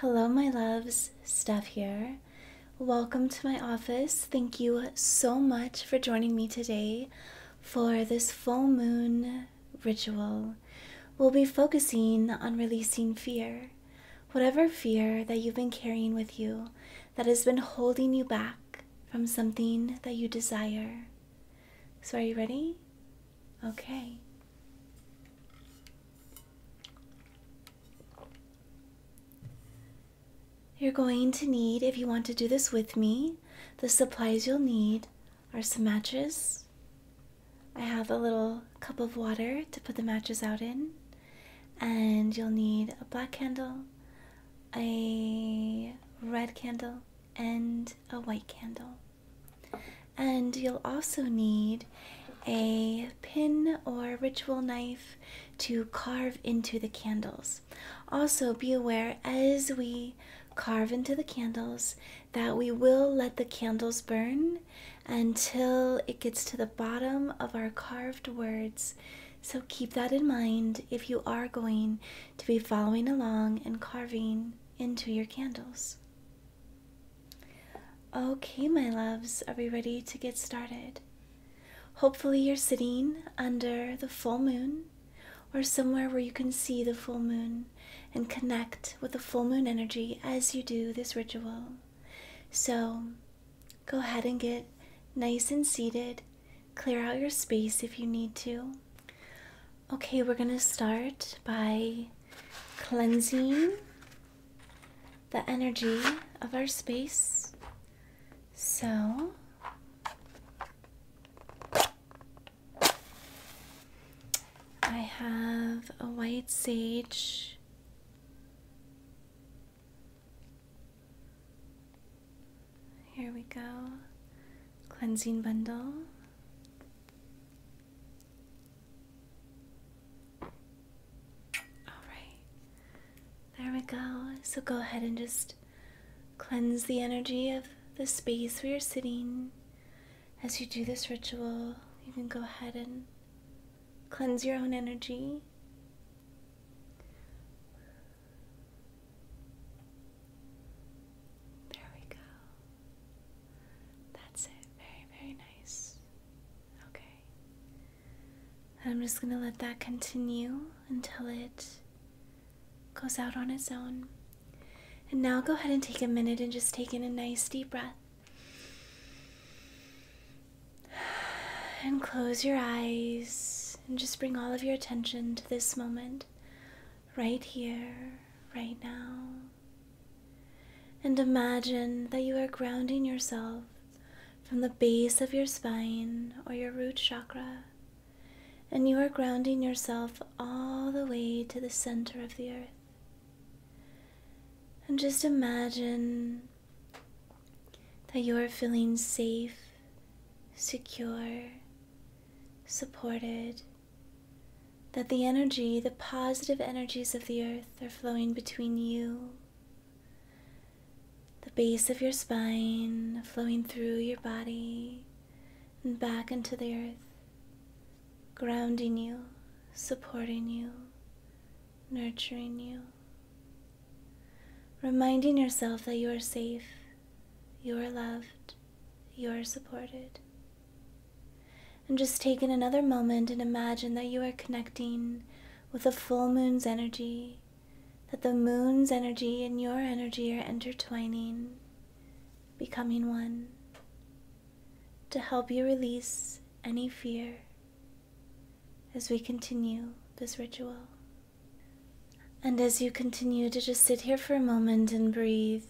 Hello, my loves. Steph here. Welcome to my office. Thank you so much for joining me today for this full moon ritual. We'll be focusing on releasing fear. Whatever fear that you've been carrying with you that has been holding you back from something that you desire. So, are you ready? Okay. You're going to need, if you want to do this with me, the supplies you'll need are some matches. I have a little cup of water to put the matches out in, and you'll need a black candle, a red candle, and a white candle. And you'll also need a pin or ritual knife to carve into the candles. Also, be aware as we carve into the candles that we will let the candles burn until it gets to the bottom of our carved words. So keep that in mind if you are going to be following along and carving into your candles. Okay, my loves, are we ready to get started? Hopefully, you're sitting under the full moon or somewhere where you can see the full moon and connect with the full moon energy as you do this ritual. So, go ahead and get nice and seated. Clear out your space if you need to. Okay, we're going to start by cleansing the energy of our space. So, I have a white sage. Here we go. Cleansing bundle. Alright. There we go. So go ahead and just cleanse the energy of the space we are sitting. As you do this ritual, you can go ahead and cleanse your own energy. There we go. That's it. Very, very nice. Okay. I'm just going to let that continue until it goes out on its own. And now go ahead and take a minute and just take in a nice deep breath. And close your eyes and just bring all of your attention to this moment right here, right now. And imagine that you are grounding yourself from the base of your spine or your root chakra, and you are grounding yourself all the way to the center of the earth. And just imagine that you are feeling safe, secure, supported, that the energy, the positive energies of the earth, are flowing between you, the base of your spine, flowing through your body and back into the earth, grounding you, supporting you, nurturing you, reminding yourself that you are safe, you are loved, you are supported. And just take in another moment and imagine that you are connecting with the full moon's energy, that the moon's energy and your energy are intertwining, becoming one, to help you release any fear as we continue this ritual. And as you continue to just sit here for a moment and breathe,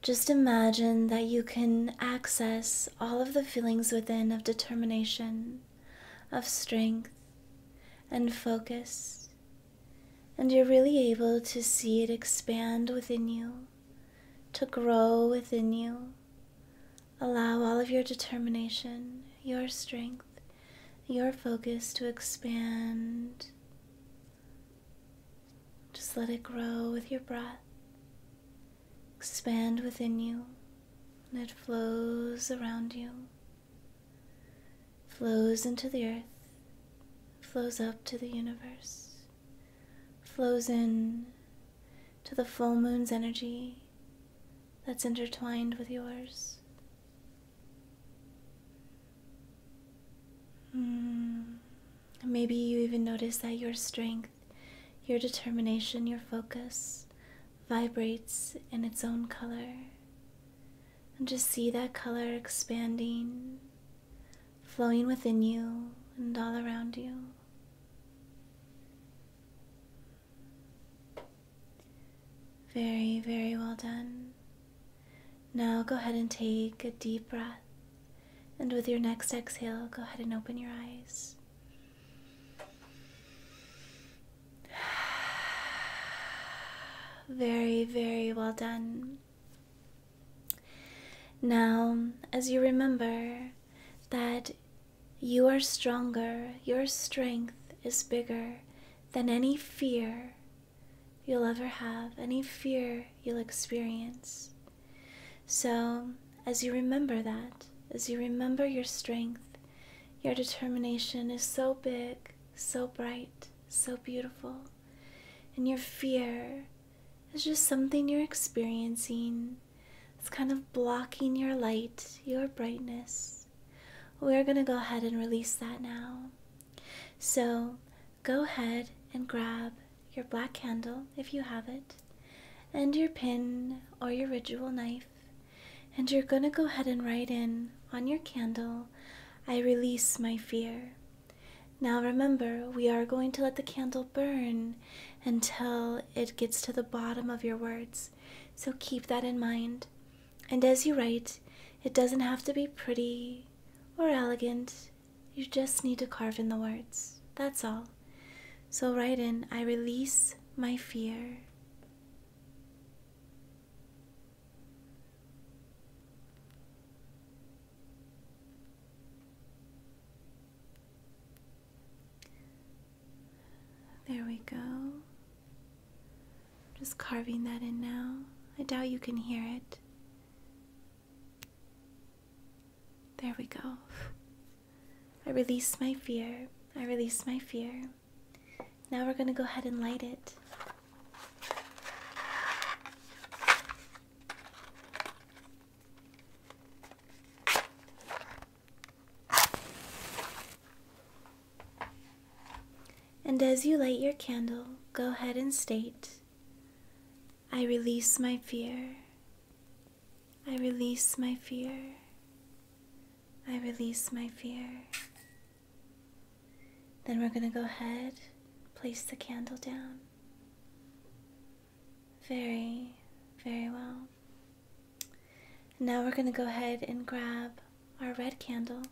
just imagine that you can access all of the feelings within of determination, of strength, and focus, and you're really able to see it expand within you, to grow within you. Allow all of your determination, your strength, your focus to expand just let it grow with your breath, expand within you, and it flows around you, flows into the earth, flows up to the universe, flows in to the full moon's energy that's intertwined with yours. Mm. Maybe you even notice that your strength, your determination, your focus vibrates in its own color. And just see that color expanding, flowing within you and all around you. Very, very well done. Now go ahead and take a deep breath and with your next exhale, go ahead and open your eyes. Very, very well done. Now, as you remember that you are stronger, your strength is bigger than any fear you'll ever have, any fear you'll experience. So, as you remember that, as you remember your strength, your determination is so big, so bright, so beautiful, and your fear is just something you're experiencing. It's kind of blocking your light, your brightness. We're going to go ahead and release that now. So, go ahead and grab your black candle if you have it, and your pin or your ritual knife, and you're going to go ahead and write in on your candle, I release my fear. Now remember, we are going to let the candle burn until it gets to the bottom of your words, so keep that in mind. And as you write, it doesn't have to be pretty or elegant. You just need to carve in the words. That's all. So write in I release my fear. There we go. Just carving that in now. I doubt you can hear it. There we go. I release my fear. I release my fear. Now we're going to go ahead and light it. And as you light your candle, go ahead and state I release my fear. I release my fear. I release my fear. Then we're going to go ahead, place the candle down. Very, very well. Now we're going to go ahead and grab our red candle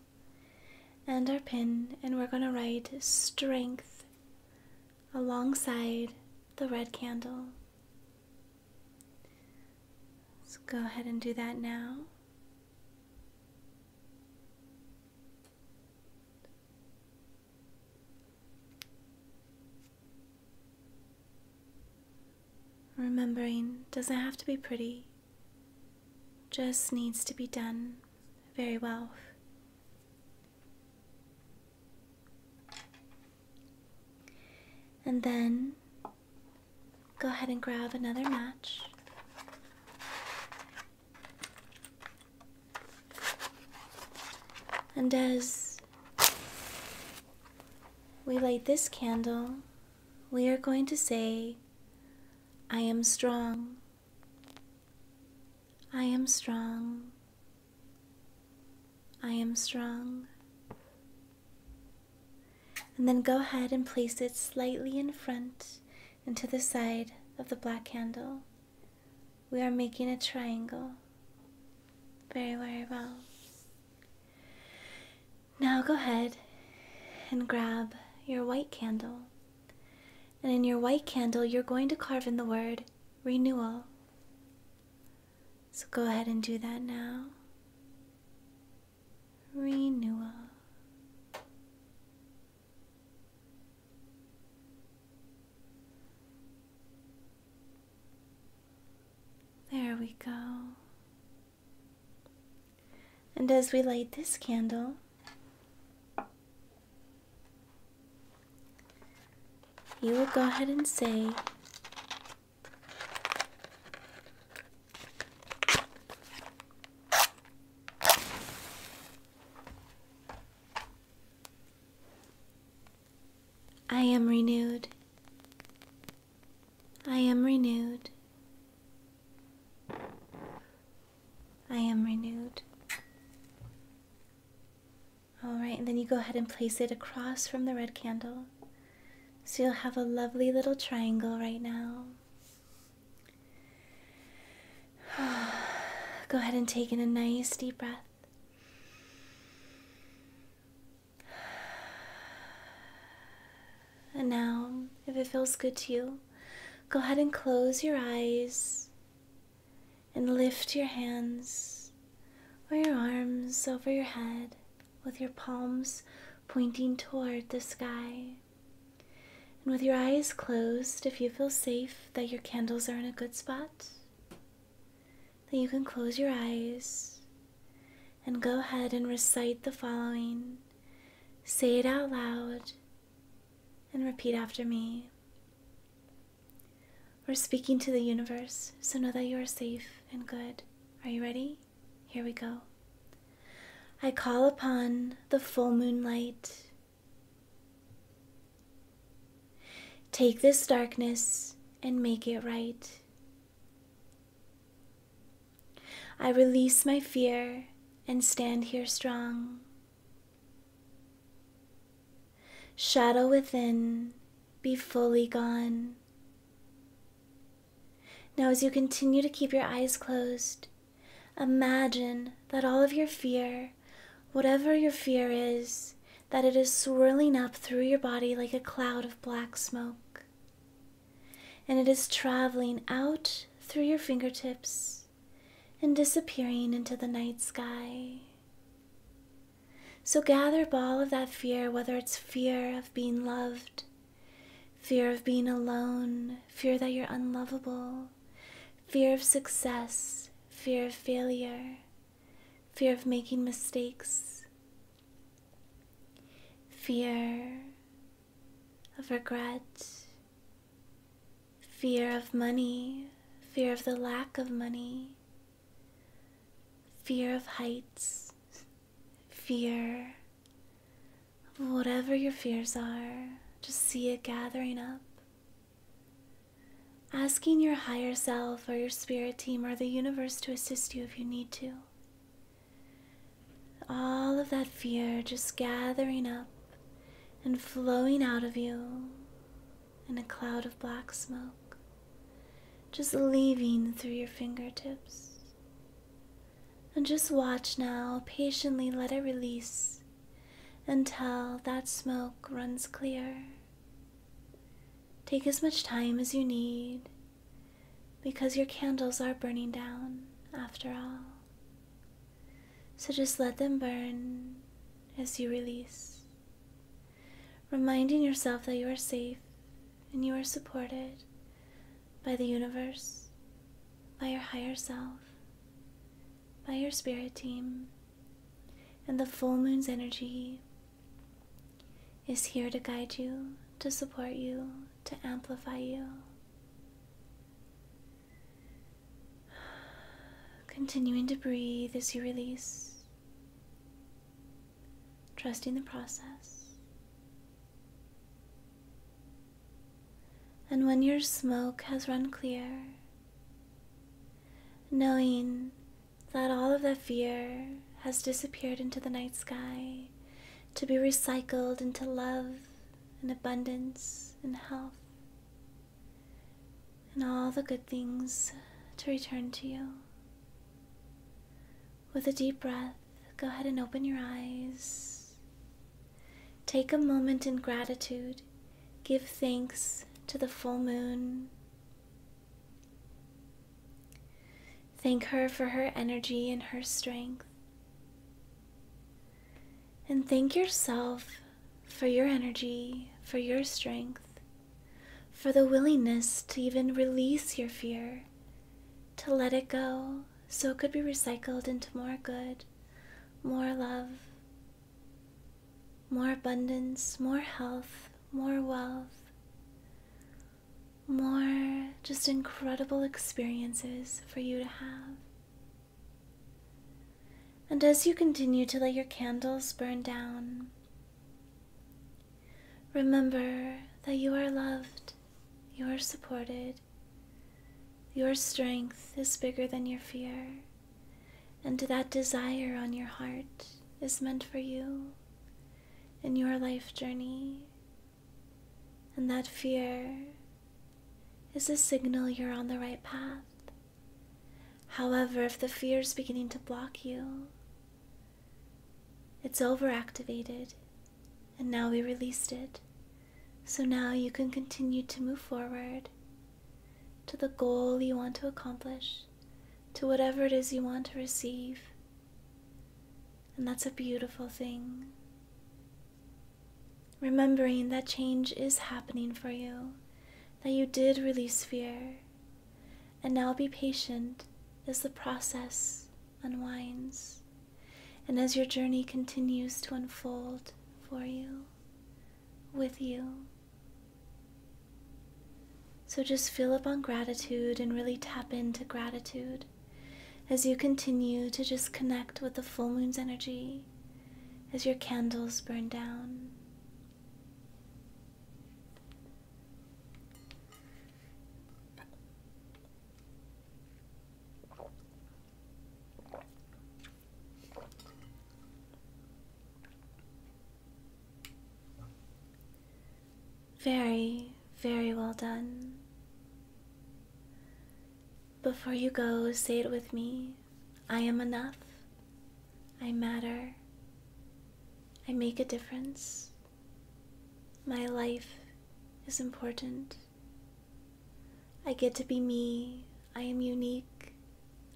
and our pin, and we're going to write strength alongside the red candle. So go ahead and do that now. Remembering doesn't have to be pretty, just needs to be done very well and then go ahead and grab another match. And as we light this candle, we are going to say, I am strong. I am strong. I am strong. And then go ahead and place it slightly in front and to the side of the black candle. We are making a triangle. Very, very well. Now go ahead and grab your white candle and in your white candle, you're going to carve in the word renewal. So go ahead and do that now. Renewal. There we go. And as we light this candle, you will go ahead and say, I am renewed. I am renewed. I am renewed. All right, and then you go ahead and place it across from the red candle. So you'll have a lovely little triangle right now. go ahead and take in a nice deep breath. And now, if it feels good to you, go ahead and close your eyes and lift your hands or your arms over your head with your palms pointing toward the sky. And with your eyes closed, if you feel safe that your candles are in a good spot, then you can close your eyes and go ahead and recite the following. Say it out loud and repeat after me. We're speaking to the universe, so know that you are safe and good. Are you ready? Here we go. I call upon the full moonlight. Take this darkness and make it right. I release my fear and stand here strong. Shadow within, be fully gone. Now, as you continue to keep your eyes closed, imagine that all of your fear, whatever your fear is, that it is swirling up through your body like a cloud of black smoke. And it is traveling out through your fingertips and disappearing into the night sky. So gather up all of that fear, whether it's fear of being loved, fear of being alone, fear that you're unlovable, fear of success, fear of failure, fear of making mistakes, fear of regret, fear of money, fear of the lack of money, fear of heights, fear of whatever your fears are. Just see it gathering up. Asking your higher self or your spirit team or the universe to assist you if you need to. All of that fear just gathering up and flowing out of you in a cloud of black smoke, just leaving through your fingertips. And just watch now, patiently let it release until that smoke runs clear. Take as much time as you need because your candles are burning down after all. So just let them burn as you release, reminding yourself that you are safe and you are supported by the universe, by your higher self, by your spirit team, and the full moon's energy is here to guide you, to support you, to amplify you. Continuing to breathe as you release, trusting the process. And when your smoke has run clear, knowing that all of that fear has disappeared into the night sky to be recycled into love and abundance and health and all the good things to return to you. With a deep breath, go ahead and open your eyes. Take a moment in gratitude. Give thanks to the full moon. Thank her for her energy and her strength and thank yourself for your energy, for your strength, for the willingness to even release your fear, to let it go so it could be recycled into more good, more love, more abundance, more health, more wealth. More just incredible experiences for you to have. And as you continue to let your candles burn down, remember that you are loved, you are supported, your strength is bigger than your fear, and that desire on your heart is meant for you in your life journey, and that fear is a signal you're on the right path. However, if the fear is beginning to block you, it's overactivated, and now we released it. So now you can continue to move forward to the goal you want to accomplish, to whatever it is you want to receive. And that's a beautiful thing. Remembering that change is happening for you, that you did release fear, and now be patient as the process unwinds and as your journey continues to unfold for you, with you. So just fill up on gratitude and really tap into gratitude as you continue to just connect with the full moon's energy as your candles burn down. Very, very well done. Before you go, say it with me I am enough. I matter. I make a difference. My life is important. I get to be me. I am unique.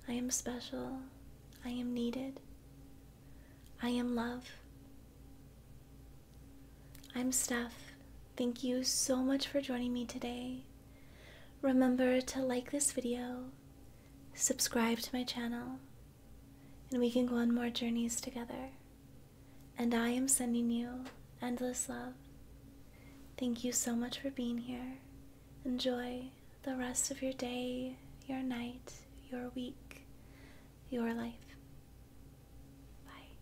I am special. I am needed. I am love. I'm Steph. Thank you so much for joining me today. Remember to like this video, subscribe to my channel, and we can go on more journeys together. And I am sending you endless love. Thank you so much for being here. Enjoy the rest of your day, your night, your week, your life. Bye.